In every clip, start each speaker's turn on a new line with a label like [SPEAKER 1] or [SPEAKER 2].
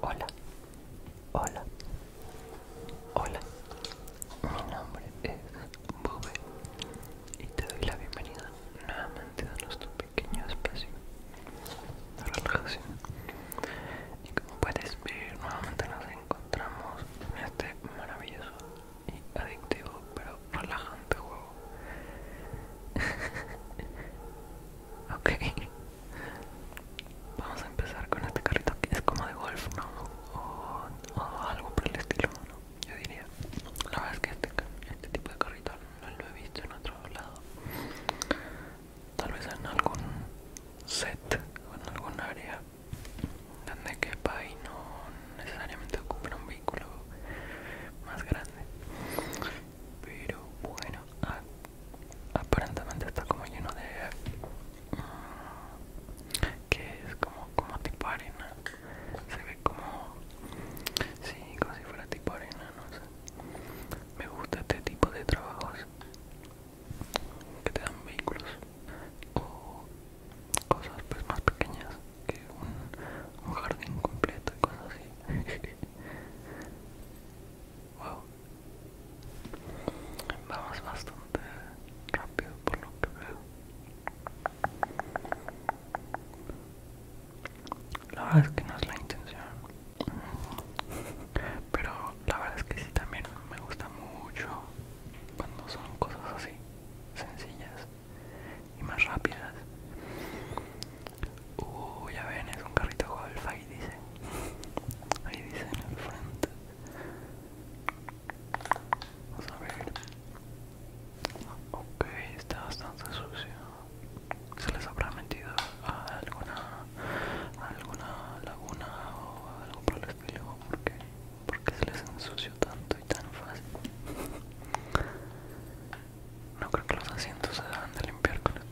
[SPEAKER 1] Hola, hola, hola. Mi nombre es Bube y te doy la bienvenida nuevamente a nuestro pequeño espacio de relajación. Y como puedes ver, nuevamente nos encontramos en este maravilloso y adictivo pero relajante juego ok vamos a empezar con este carrito que es como de golf no o, algo por el estilo ¿no? yo diría la verdad es que este, este tipo de carrito no lo he visto en otro lado tal vez en algún set o en algún área donde quepa y no, necesariamente ocupen un vehículo más grande pero bueno aparentemente está como lleno de mm, que es como como tipo arena se ve como sí como si fuera tipo arena no sé me gusta este tipo de trabajos que te dan vehículos o cosas pues más pequeñas que un, jardín completo y cosas así. Vamos bastante rápido por lo que veo. La verdad es que no es la intención. Pero la verdad es que sí también me gusta mucho cuando son cosas así, sencillas y más rápidas. Uy, ya ven, es un carrito golf, ahí dice. Ahí dice en el frente. Vamos a ver. Ok, está bastante sucio. Se les habrá metido a alguna, alguna laguna o algo por el estilo. ¿Por qué? se les ensució tanto? No creo que los asientos se deban de limpiar con el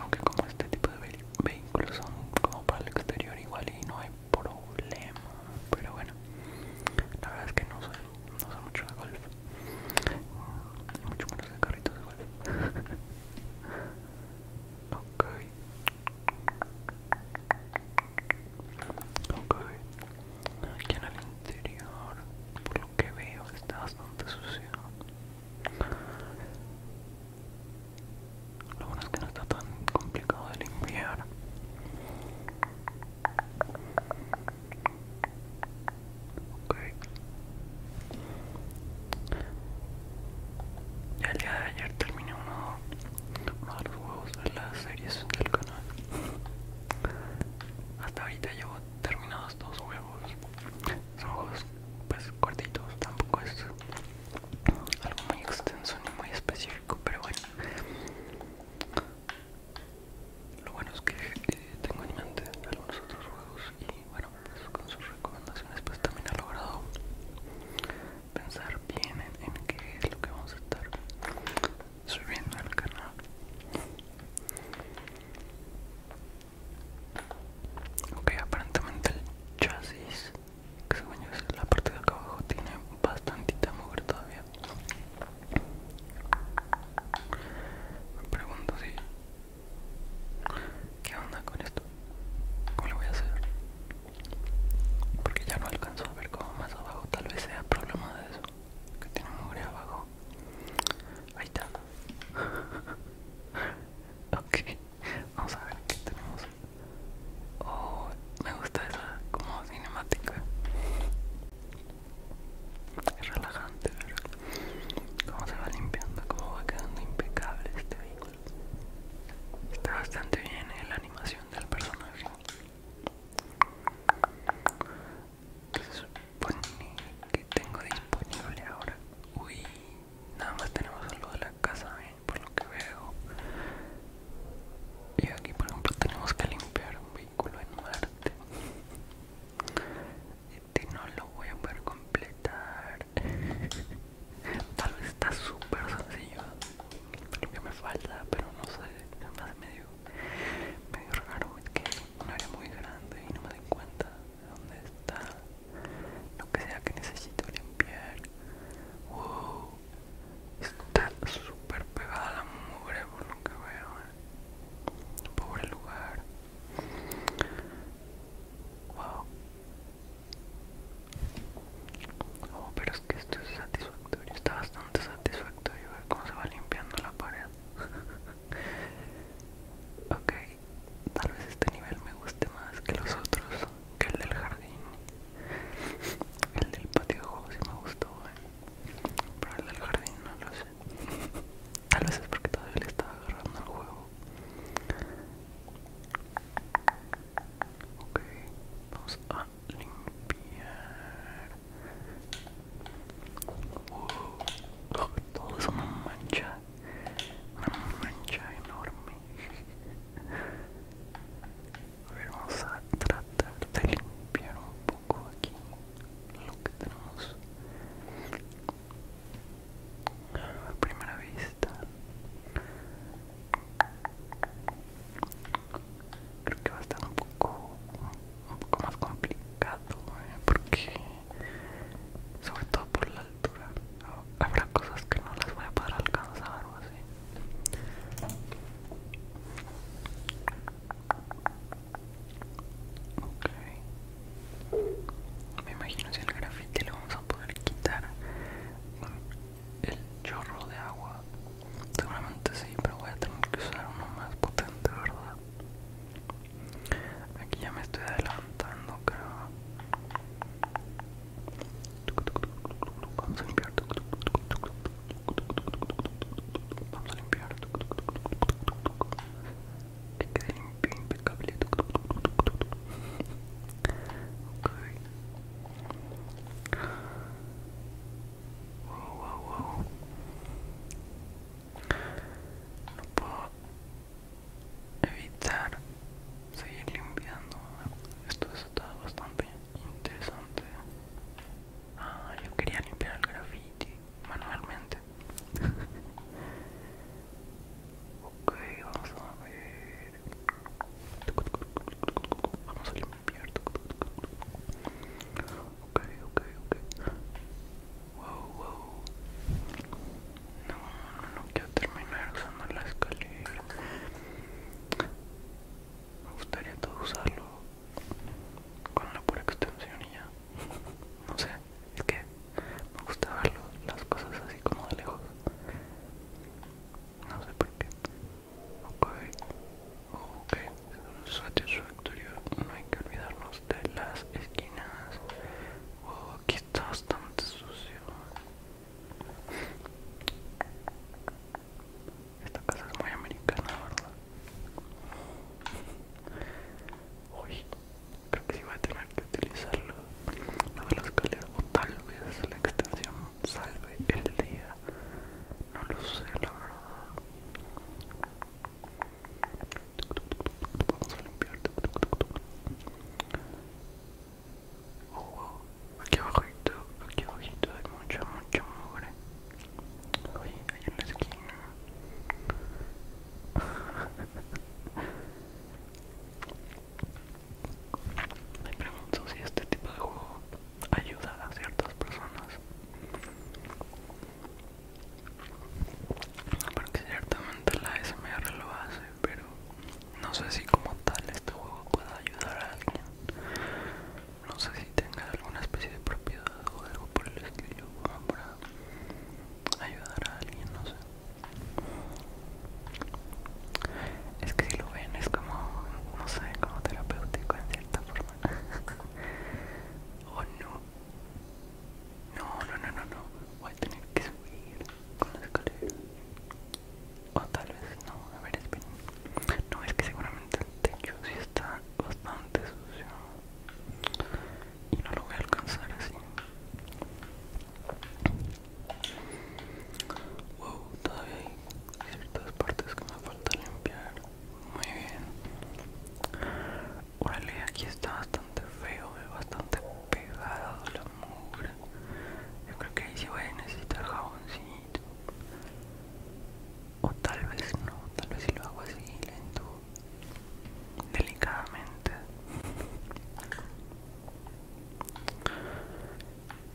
[SPEAKER 1] Aunque como este tipo de vehículos son como para el exterior igual y no hay problema. Pero bueno, la verdad es que no soy, no mucho de golf. mucho menos de carritos de golf. Ok. Aquí en el interior, por lo que veo, está bastante sucio. Lo bueno es que no está tan complicado de limpiar. Okay. Ya el día de ayer terminé uno, uno de los juegos de las series del canal hasta ahorita llevo terminados dos juegos son juegos pues cortitos tampoco es algo muy extenso ni muy específico pero bueno lo bueno es que eh, tengo en mente algunos otros juegos y bueno pues, con sus recomendaciones pues también ha logrado pensar bien en qué es lo que vamos a estar subiendo al canal ok aparentemente el chasis que se yo en la parte de acá abajo tiene bastantita mugre todavía me pregunto si qué onda con esto cómo lo voy a hacer porque ya no alcanzo a ver cómo más abajo tal vez sea problema de eso que tiene mugre abajo ahí está ok vamos a ver que tenemos oh me gusta esa como cinemática es relajante ver cómo se va limpiando como va quedando impecable este vehículo está bastante bien eh, la animación del personaje que supone que tengo disponible ahora. Uy, nada más tenemos algo de la casa, ¿eh? por lo que veo. Y aquí, por ejemplo, tenemos que limpiar un vehículo en Marte. Este no lo voy a poder completar. Tal vez está súper sencillo. Lo que me falta, pero no sé, nada me medio medio raro es que un área muy grande y no me doy cuenta de dónde está lo que sea que necesito limpiar wow está súper pegada la mugre por lo que veo eh. pobre lugar wow oh pero es que estoy satisfecho Debería está bastante y ver cómo se va limpiando la pared. ok, tal vez este nivel me guste más que los otros, que el del jardín. El del patio de juegos sí me gustó, eh, pero el del jardín no lo sé. Tal vez es porque todavía le estaba agarrando el juego. Ok, vamos a limpiar. todo es una mancha, una mancha enorme. vamos a tratar de limpiar un poco aquí lo que tenemos a primera vista creo que va a estar un poco, un poco más complicado eh, porque sobre todo por la altura habrá cosas que no las voy a poder alcanzar o así me imagino si el grafite lo vamos a poder quitar el chorro de agua Seguramente sí, pero voy a tener que usar uno más potente, ¿verdad? Aquí ya me estoy adelantando, creo. Vamos a limpiar. Vamos a limpiar. Que quede limpio, impecable. Okay. Wow, wow, wow. No puedo evitar seguir limpiando. Esto está bastante interesante. Ah, yo quería limpiar el graffiti manualmente. ok, vamos a ver. Vamos a limpiar ok, ok, ok. Wow, wow. No, no quiero terminar usando la escalera. Me gustaría todo usarlo con la pura extensión y ya. No sé, es que me gusta ver las cosas así como de lejos. No sé por qué. Ok, Ok, satisfactorio, no hay que olvidarnos de las esquinas. Oh, aquí está bastante sucio. Esta casa es muy americana, ¿verdad? Uy, creo que sí voy a tener que utilizarlo. La de las escalera, o tal vez la extensión salve el día. No lo sé, la verdad. Vamos a limpiar. Oh, wow. Aquí abajito, aquí abajito hay mucha, mucha mugre. Ahí, ahí en la esquina. Me pregunto si este tipo de juego ayudar a ciertas personas porque ciertamente la SMR lo hace pero no sé si como tal este juego pueda ayudar a alguien no sé si tenga alguna especie de propiedad o algo por el estilo para ayudar a alguien no sé es que si lo ven es como no sé como terapéutico en cierta forma oh no no no no no no voy a tener que subir con la escalera o tal vez no a ver espin no es que seguramente el techo sí está bastante sucio y no lo voy a alcanzar así wow todavía hay partes que me falta limpiar muy bien. Órale, aquí está bastante feo, eh, bastante pegado la mugre. Yo creo que ahí sí voy a necesitar jaboncito. O tal vez no, tal vez si lo hago así lento. Delicadamente.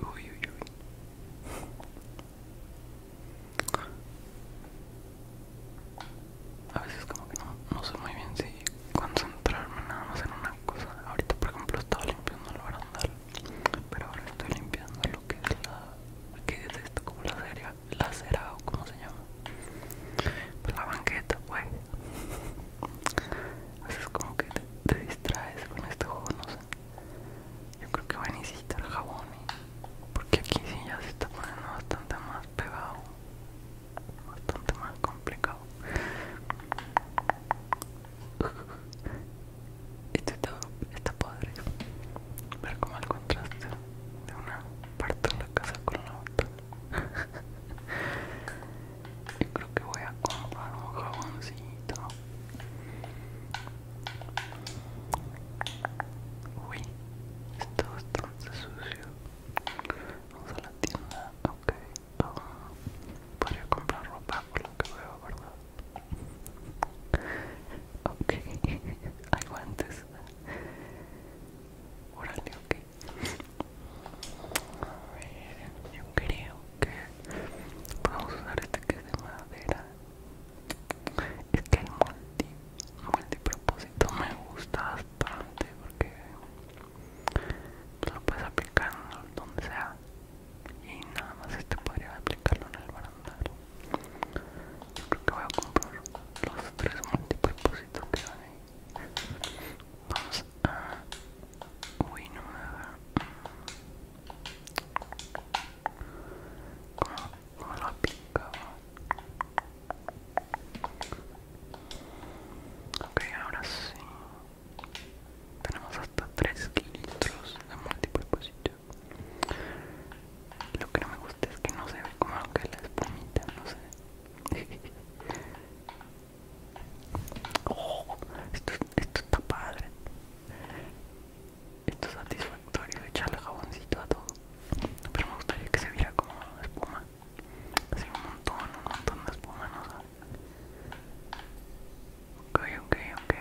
[SPEAKER 1] Uy, uy, uy. A veces como que no, no sé muy bien si concentrarme nada más en una cosa. Ahorita por ejemplo estaba limpiando el barandal, pero ahora estoy limpiando lo que es la... ¿Qué es esto? Como la serie la acera o como se llama. Pues la banqueta, pues. A veces como que te distraes con este juego, no sé. Yo creo que voy a necesitar jabón, ¿eh? porque aquí sí ya se está poniendo bastante más pegado, bastante más complicado. Esto está, está padre. Ver como el contraste de una parte de la casa con la otra. Yo creo que voy a comprar un jaboncito Uy, está bastante sucio. Vamos a la tienda, ok. Para oh, podría comprar ropa por lo que veo, ¿verdad? Ok, hay guantes. Órale, ok. A ver, yo creo que vamos a usar este que es de madera es que el multi, multipropósito me gusta bastante porque lo puedes aplicar donde sea y nada más este podría aplicarlo en el barandal. creo que voy a comprar los tres multipropósitos que van ahí. Vamos a lo pica. picado Ok, ahora sí. Tenemos hasta 3 litros de multipropósito. Lo que no me gusta es que no se ve como lo que es la espumita, no sé. Oh, esto, esto está padre esto es satisfactorio echarle jaboncito a todo pero me gustaría que se viera como espuma así un montón un montón de espuma no sabes ok ok ok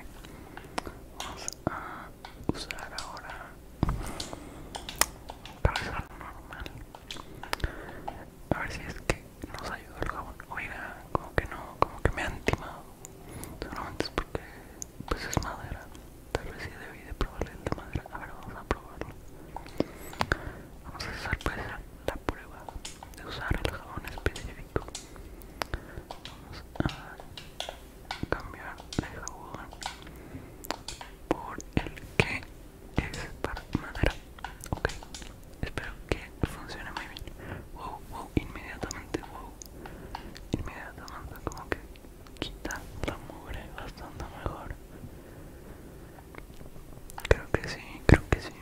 [SPEAKER 1] vamos a usar ahora para lo normal a ver si es que nos ayuda el jabón oiga como que no como que me han timado seguramente es porque pues es madera. Tal vez sí debí de probarle esta madera. A ver, vamos a probarlo. Vamos a hacer pues la prueba de usar el jabón específico. Vamos a cambiar el jabón por el que es para madera. Ok, espero que funcione muy bien. Wow, wow, inmediatamente, wow. Inmediatamente, como que quita la mugre bastante mejor creo que sí creo que sí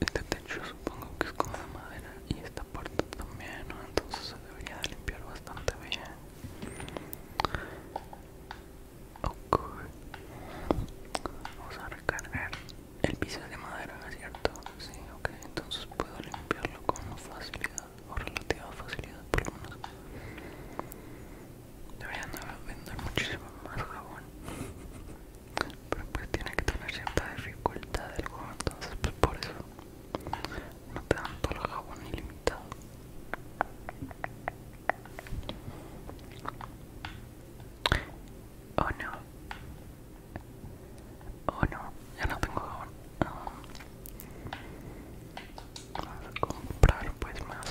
[SPEAKER 1] Este techo supongo que es como de madera y esta puerta también, Entonces se debería de limpiar bastante bien. Ok. Vamos a recargar. El piso de madera, cierto? Sí, ok. Entonces puedo limpiarlo con facilidad o relativa facilidad, por lo menos. Deberían vender muchísimo más jabón. Pero pues tiene que tener cierta dificultad el juego, entonces pues por eso no te dan todo el jabón ilimitado oh no oh no ya no tengo jabón vamos a comprar pues más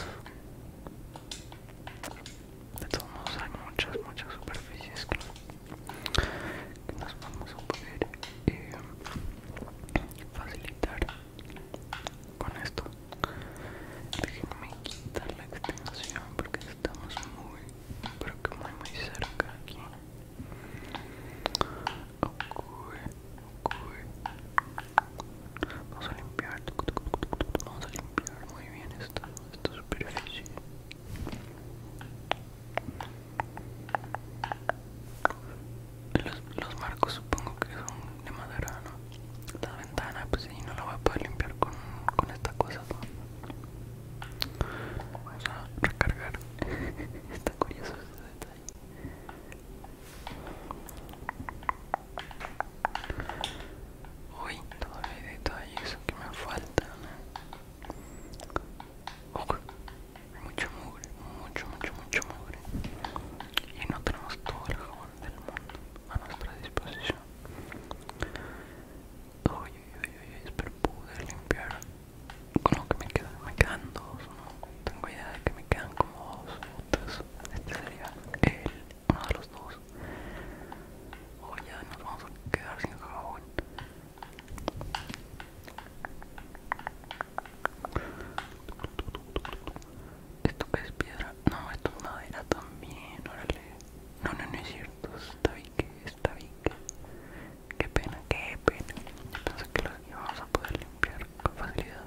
[SPEAKER 1] de todos modos hay muchas muchas superficies que nos vamos a poder eh, facilitar con esto déjenme quitar la extensión porque estamos muy pero que muy cerca aquí vamos a limpiar vamos a limpiar muy bien esta, esta superficie los, marcos supongo que son de madera, ¿no? La ventana, pues si, no la voy a poder limpiar con, esta cosa. Vamos a recargar. Está curioso este detalle. Uy, todavía hay eso que me falta ¿eh? mucho mugre, mucho, mucho, mucho mugre. Y no tenemos todo el jabón del mundo a nuestra disposición. Oye, oye, oye, pero poder limpiar con lo que me quedan. Me quedan dos, no tengo idea de que me quedan como dos o tres. Este sería el, uno de los dos. O oh, ya nos vamos a quedar sin jabón. Esto que es piedra. No, esto es madera también. Órale. No, no, no es cierto. Está bien que está bien. Qué pena, qué pena. Pensé que los íbamos a poder limpiar con facilidad.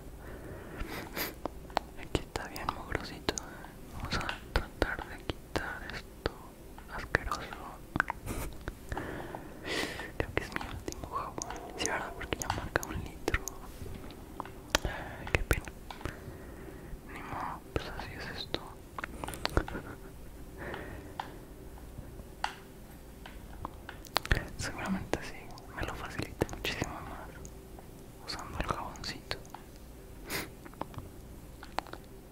[SPEAKER 1] Aquí está bien mugrosito. Vamos a tratar de quitar esto asqueroso. Creo que es mi último jabón. Sí, verdad, porque ya marca un qué pena. Ni modo, pues así es esto. Seguramente sí, me lo facilita muchísimo más usando el jaboncito.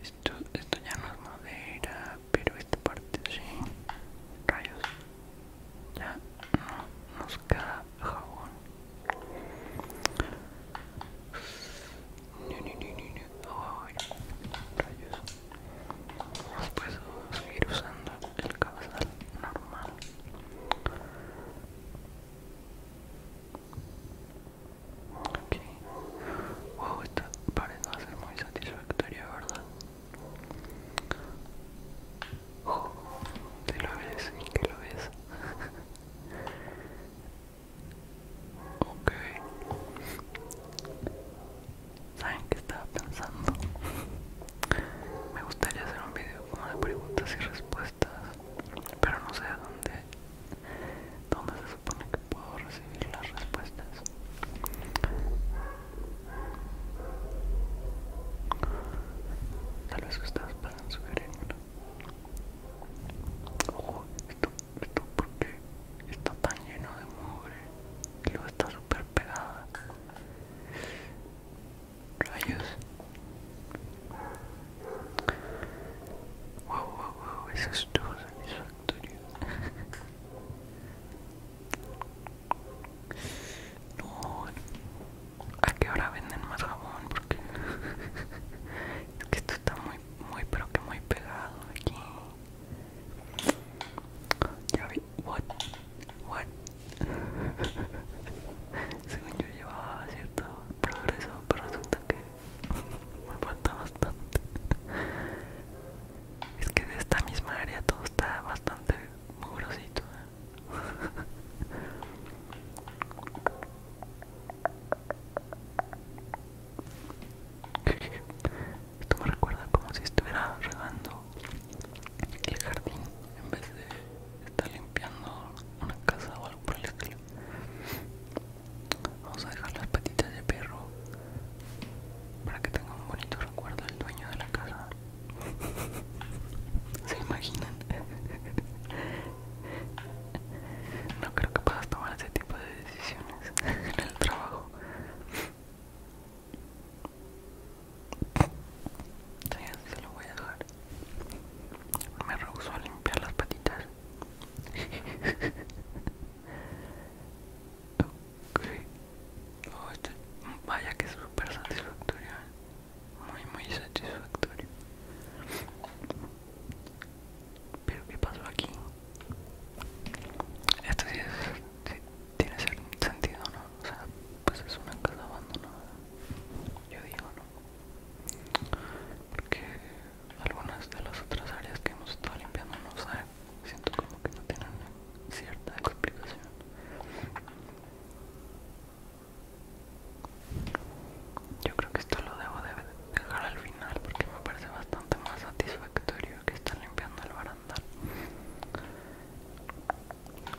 [SPEAKER 1] Esto, esto ya no es madera, pero esta parte sí. Rayos ya no nos queda jabón no, no, no, no, no. Oh, rayos. vamos a seguir usando el cabezal normal okay wow, esta parece no ser muy satisfactoria, ¿verdad? Si lo ves, ¿y que lo ves? ok. ¿Saben qué estaba pensando? Me gustaría hacer un video como de preguntas y respuestas, pero no sé a dónde, dónde se supone que puedo recibir las respuestas. Tal vez ustedes puedan sugerirme. Ojo, esto, esto porque está tan lleno de mugre y luego está súper pegada. Rayos. Wow, wow, wow, eso todo satisfactorio. No, ¿a qué hora venden más jabón? Porque es que esto está muy, muy, pero que muy pegado aquí. Ya vi, what, what. Según yo llevaba cierto progreso, pero resulta que me falta bastante. Es que de esta misma área todo está bastante murosito. ¿eh? Esto me recuerda como si estuviera regando el jardín en vez de estar limpiando una casa o algo por el estilo. Vamos a dejar las patitas de perro para que tenga un bonito recuerdo el dueño de la casa. ¿Se imaginan? No creo que puedas tomar ese tipo de decisiones en el trabajo. se lo voy a dejar. Me rehusó a limpiar las patitas. oh, vaya que es súper satisfactorio ¿eh? muy muy satisfactorio pero qué pasó aquí esto sí, tiene sentido no o sea pues es una casa abandonada yo digo no porque algunas de las otras áreas que hemos estado limpiando no saben siento como que no tienen cierta explicación yo creo que esto lo debo dejar al final porque me parece bastante más satisfactorio que estar limpiando el barandal.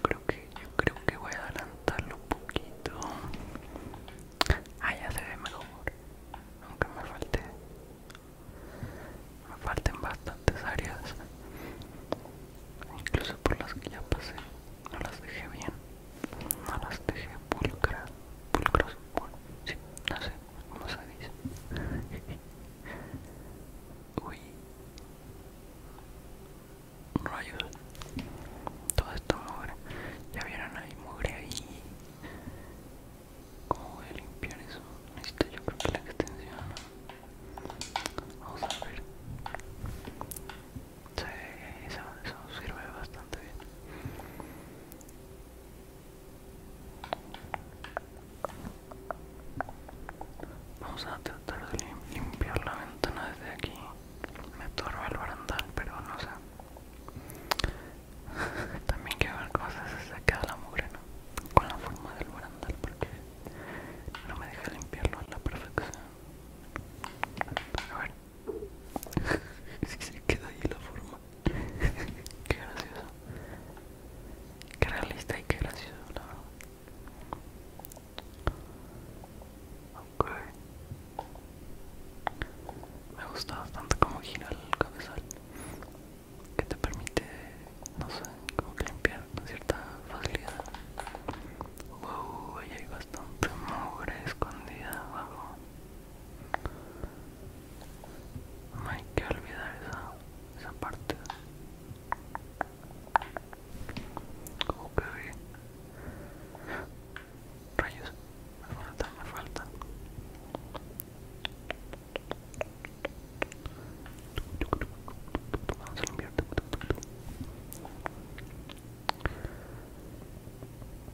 [SPEAKER 1] Creo que yo creo que voy a adelantarlo un poquito. Ah, ya se ve mejor, aunque me falte me faltan bastantes áreas incluso por las que ya pasé no las dejé bien no las dejé pulcras pulcros sí no sé cómo se dice uy rayos todo esto mugre ya vieron ahí mugre ahí ¿Cómo voy a limpiar eso? Necesito yo creo que la extensión Vamos a ver. Sí, eso, sirve bastante bien. Vamos a tratar de limpiar la ventana desde aquí. Me torba el barandal, pero no sé. También que ver cosas se queda la mugre, ¿no? Con la forma del barandal, porque no me deja limpiarlo a la perfección. A ver. Si se queda ahí la forma. qué gracioso. Qué realista y qué gracioso, la verdad. Ok. Me gusta bastante como gira el cabezal. Que te permite no sé, como que limpiar con cierta facilidad. Wow, ahí hay bastante mugre escondida abajo. No hay que olvidar esa, parte. Como que Rayos, me falta, me falta.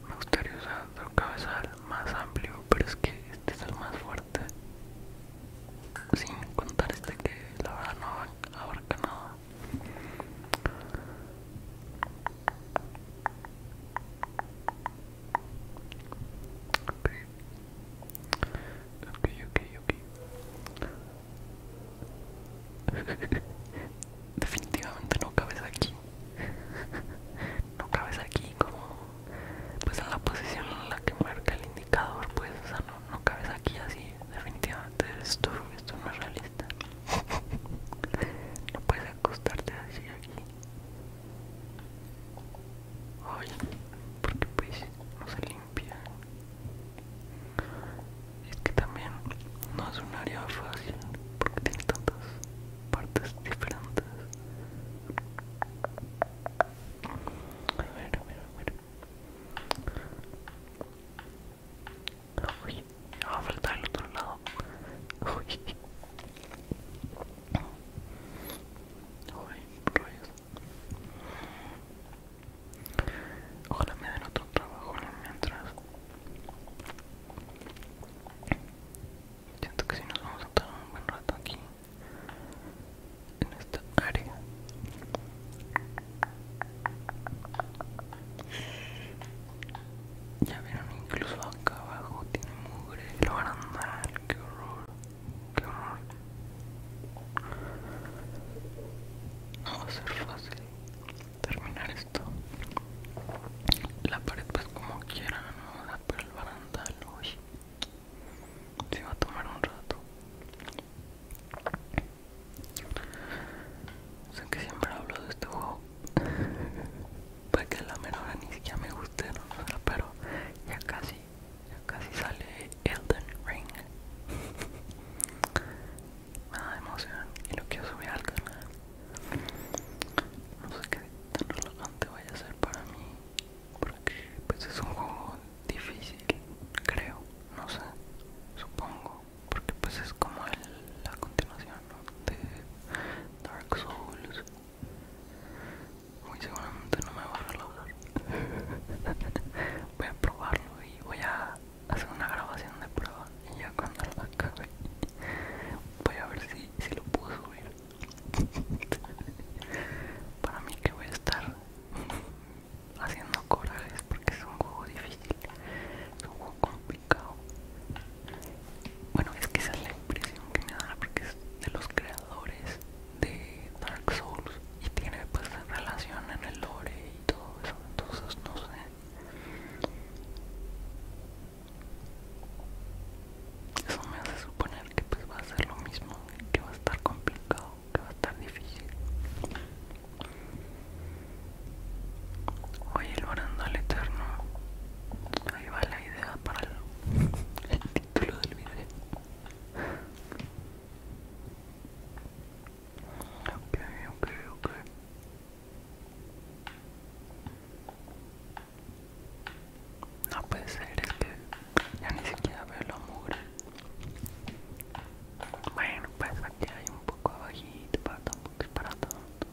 [SPEAKER 1] Me gustaría usar otro cabezal más amplio, pero es que este es el más fuerte. Sin contar este que la verdad no abarca nada. Okay. Ok, ok, ok. Definitivamente no cabes aquí. no cabes aquí como... Pues en la posición en la que marca el indicador, pues, o sea, no, no cabes aquí así. Definitivamente esto, esto no es realista. no puedes acostarte así aquí. Hoy, porque pues no se limpia es que también no es un área fácil porque tiene tantas partes diferentes a ver a ver a ver Uy, va a faltar el otro lado. Uy. Uy, Ojalá me den otro trabajo mientras. Siento que si nos vamos a estar un buen rato aquí en esta área. Ya vieron, incluso acá abajo tiene mugre, lo harán mal, qué horror. Que horror. No va a ser fácil terminar esto. La pared pues como quiera, no la el barandal hoy se va a tomar un rato. Sé que siempre hablo de este juego. Para que la menor ni siquiera me guste, pero ya casi ya casi sale Elden Ring. Me da emoción y lo quiero subir al canal. No sé qué tan relajante vaya a ser para mí. Porque pues es un juego difícil, creo, no sé, supongo. Porque pues es como la continuación de Dark Souls. Muy seguramente no me va a relajar voy a probarlo y voy a hacer una grabación de prueba y ya cuando la acabe voy a ver si, lo puedo subir para mí que voy a estar haciendo corajes porque es un juego difícil es un juego complicado bueno es que esa es la impresión que me da porque es de los creadores de Dark Souls y tiene pues relación en el lore y todo eso, entonces no sé. Eso me hace suponer que pues va a ser lo mismo, que va a estar complicado, que va a estar difícil. Oye, el orando al eterno. Ahí va la idea para el, el título del video. Ok, ok, ok. No puede ser, es que ya ni siquiera veo la mugre. Bueno, pues aquí hay un poco abajito, para tampoco disparar para tanto.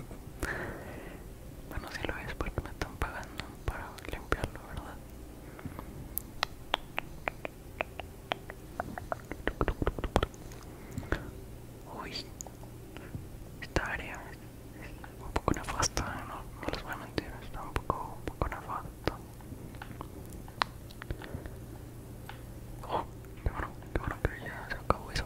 [SPEAKER 1] bueno, si lo ves porque me están pagando para limpiarlo, ¿verdad? Uy, esta área es un poco nefasta, ¿eh? no, no les voy a mentir, está un poco, un poco nefasta. Oh, qué bueno, qué bueno que ya se acabó eso.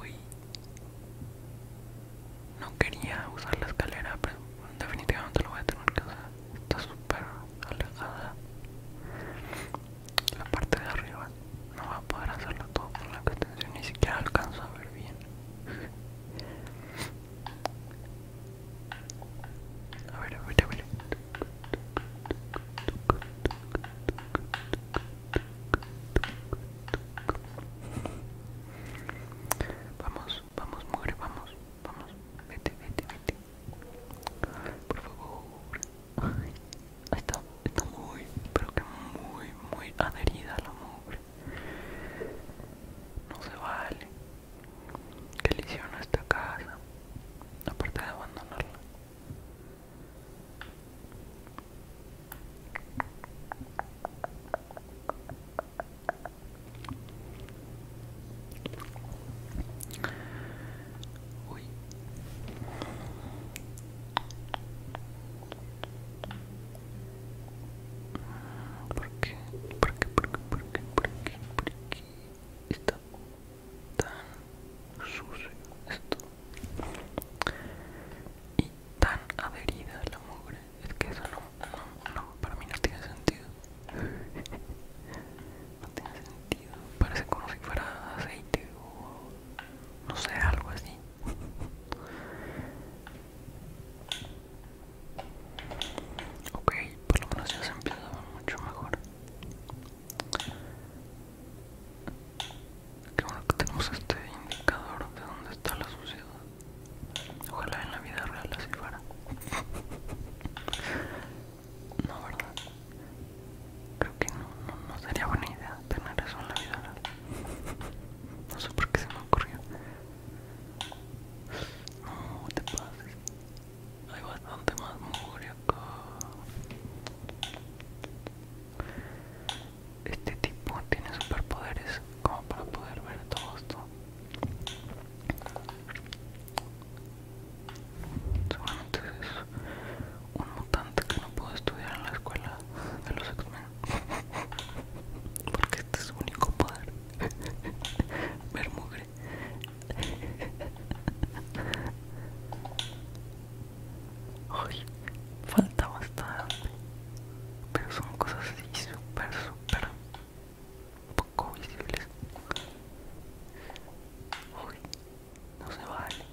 [SPEAKER 1] Uy. No quería usar la escalera, pero definitivamente lo voy a tener que usar. Está súper alejada. La parte de arriba no va a poder hacerlo todo con la extensión, ni siquiera alcanzo a ver bien. A ver, a Vamos, vamos, mugre, vamos, vamos. Vete, vete, vete. Por favor. está, muy, pero que muy, muy adherida la mugre no se vale. Que le esta casa? Aparte de abandonarla. ¿Por qué? ¿Por qué? ¿Por qué? ¿Por qué? ¿Por qué? Está tan sucio esto y tan adherida la mugre. Es que eso no, no, no, para mí no tiene sentido. No tiene sentido. Parece como si fuera aceite o no sé, algo así. Ok, por lo menos ya se empieza a ver mucho mejor. Qué bueno que tenemos este indicador de dónde está la suciedad. Ojalá en la vida real así fuera. No, ¿verdad? Creo que no sería buena idea tener eso en la vida real. No sé por qué se me ocurrió. No te pases. Hay bastante más mugre acá. Este tipo tiene superpoderes como para poder ver todo esto. Seguramente es un mutante que no pudo estudiar en la escuela de los experimentos porque este es su único poder Vermugre Uy, falta bastante pero son cosas así súper súper poco visibles Uy, no se vale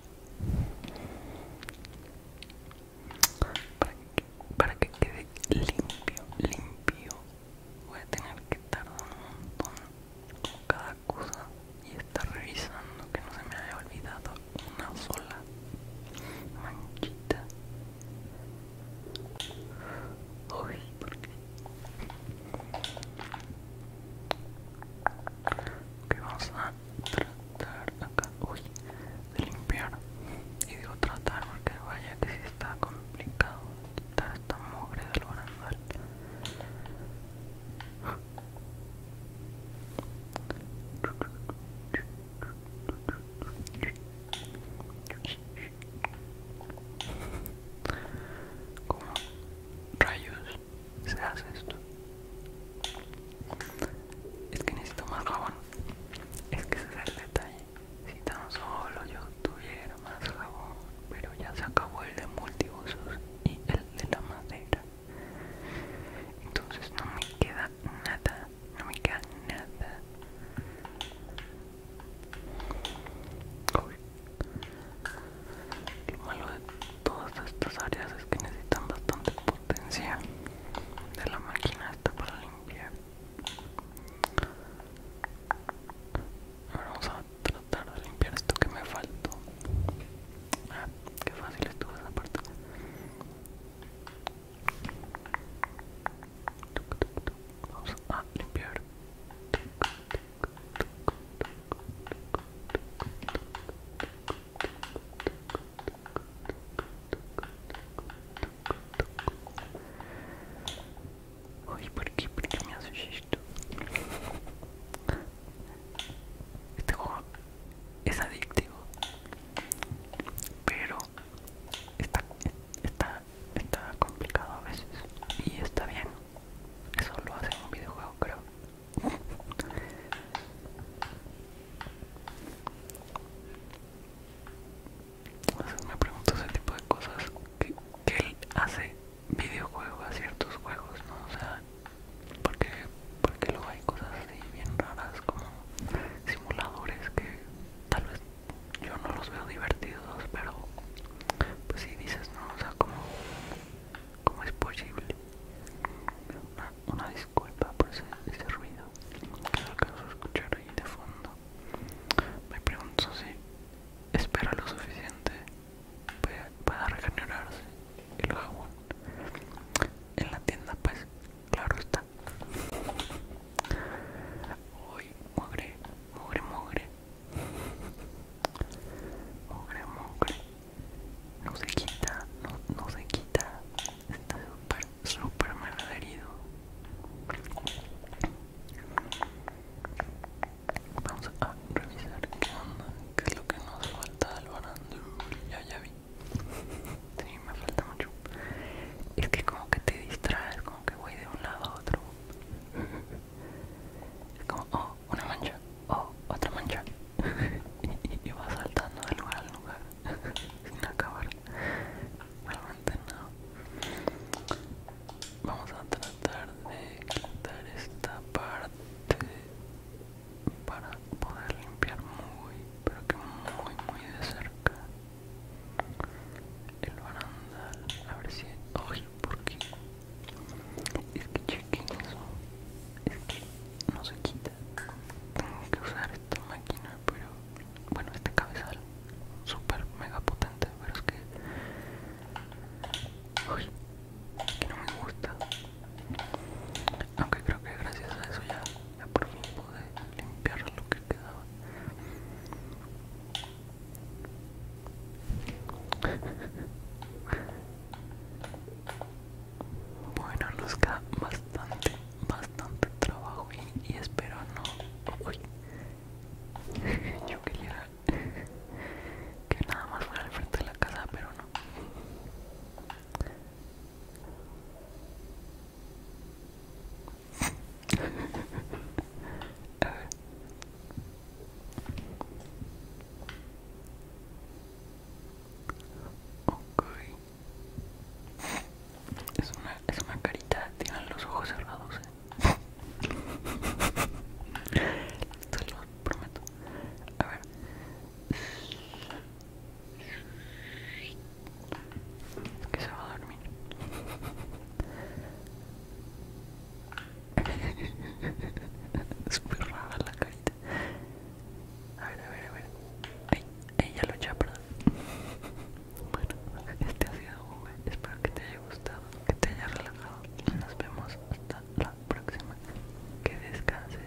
[SPEAKER 1] para que, quede limpio, limpio voy a tener que tardar un montón con cada cosa y estar revisando que no se me haya olvidado una sola manchita Uy, porque vamos a tratar acá uy, de limpiar y digo tratar porque vaya que si está complicado quitar esta mugre del barandal ¿Cómo rayos se hace esto es que necesito más jabón es que ese es el detalle si tan solo yo tuviera más jabón pero ya se acabó el de multiusos y el de la madera entonces no me queda nada no me queda nada Lo malo de todas estas áreas es que necesitan bastante potencia de la máquina hasta para limpiar. Ahora vamos a tratar de limpiar esto que me faltó. Ah, qué fácil estuvo esa parte. Vamos a limpiar. Uy, ¿por qué? qué me haces esto? Este juego es adictivo, pero está, está, está complicado a veces y está bien. Eso lo hace en un videojuego, creo me pregunto ese tipo de cosas que, él hace videojuegos a ciertos juegos, ¿no? O sea, porque, porque luego hay cosas así bien raras como simuladores que tal vez yo no los veo divertidos, pero pues si dices, ¿no? O sea, como, es posible una, disculpa por ese, ruido que de escuchar ahí de fondo. Me pregunto si espera lo suficiente para, regenerarse el jabón. En la tienda, pues, claro está. Uy, mugre, mugre, mugre. Mugre, mugre. No se quita, no se quita. Está súper, súper malherido. Vamos a revisar qué onda, qué es lo que nos falta al barando Ya, ya vi. Sí, me falta mucho. Es que como que te distraes, como que voy de un lado a otro. Es como, oh, una mancha, oh, otra mancha. y, vas saltando de lugar al lugar sin acabar realmente no vamos a tratar de quitar esta parte para poder limpiar muy pero que muy muy de cerca el barandal a ver si ojo, porque es que chequen eso es que no se quita tengo que usar esta máquina pero bueno este cabezal super mega potente pero es que uy que no me gusta aunque creo que gracias a eso ya, ya por fin pude limpiar lo que quedaba bueno nos bastante bastante trabajo y, espero no... Uy. Yo quería que nada más fuera al frente de la casa, pero no. A Okay. Es una, es una carita, tienen los ojos cerrados, eh. Te lo prometo. A ver. Es que se va a dormir. es muy rara la carita. A ver, a ver, a ver. Ay, ella lo echa perdón bueno, este ha sido Espero que te haya gustado, que te haya relajado. Nos vemos hasta la próxima. Que descanses.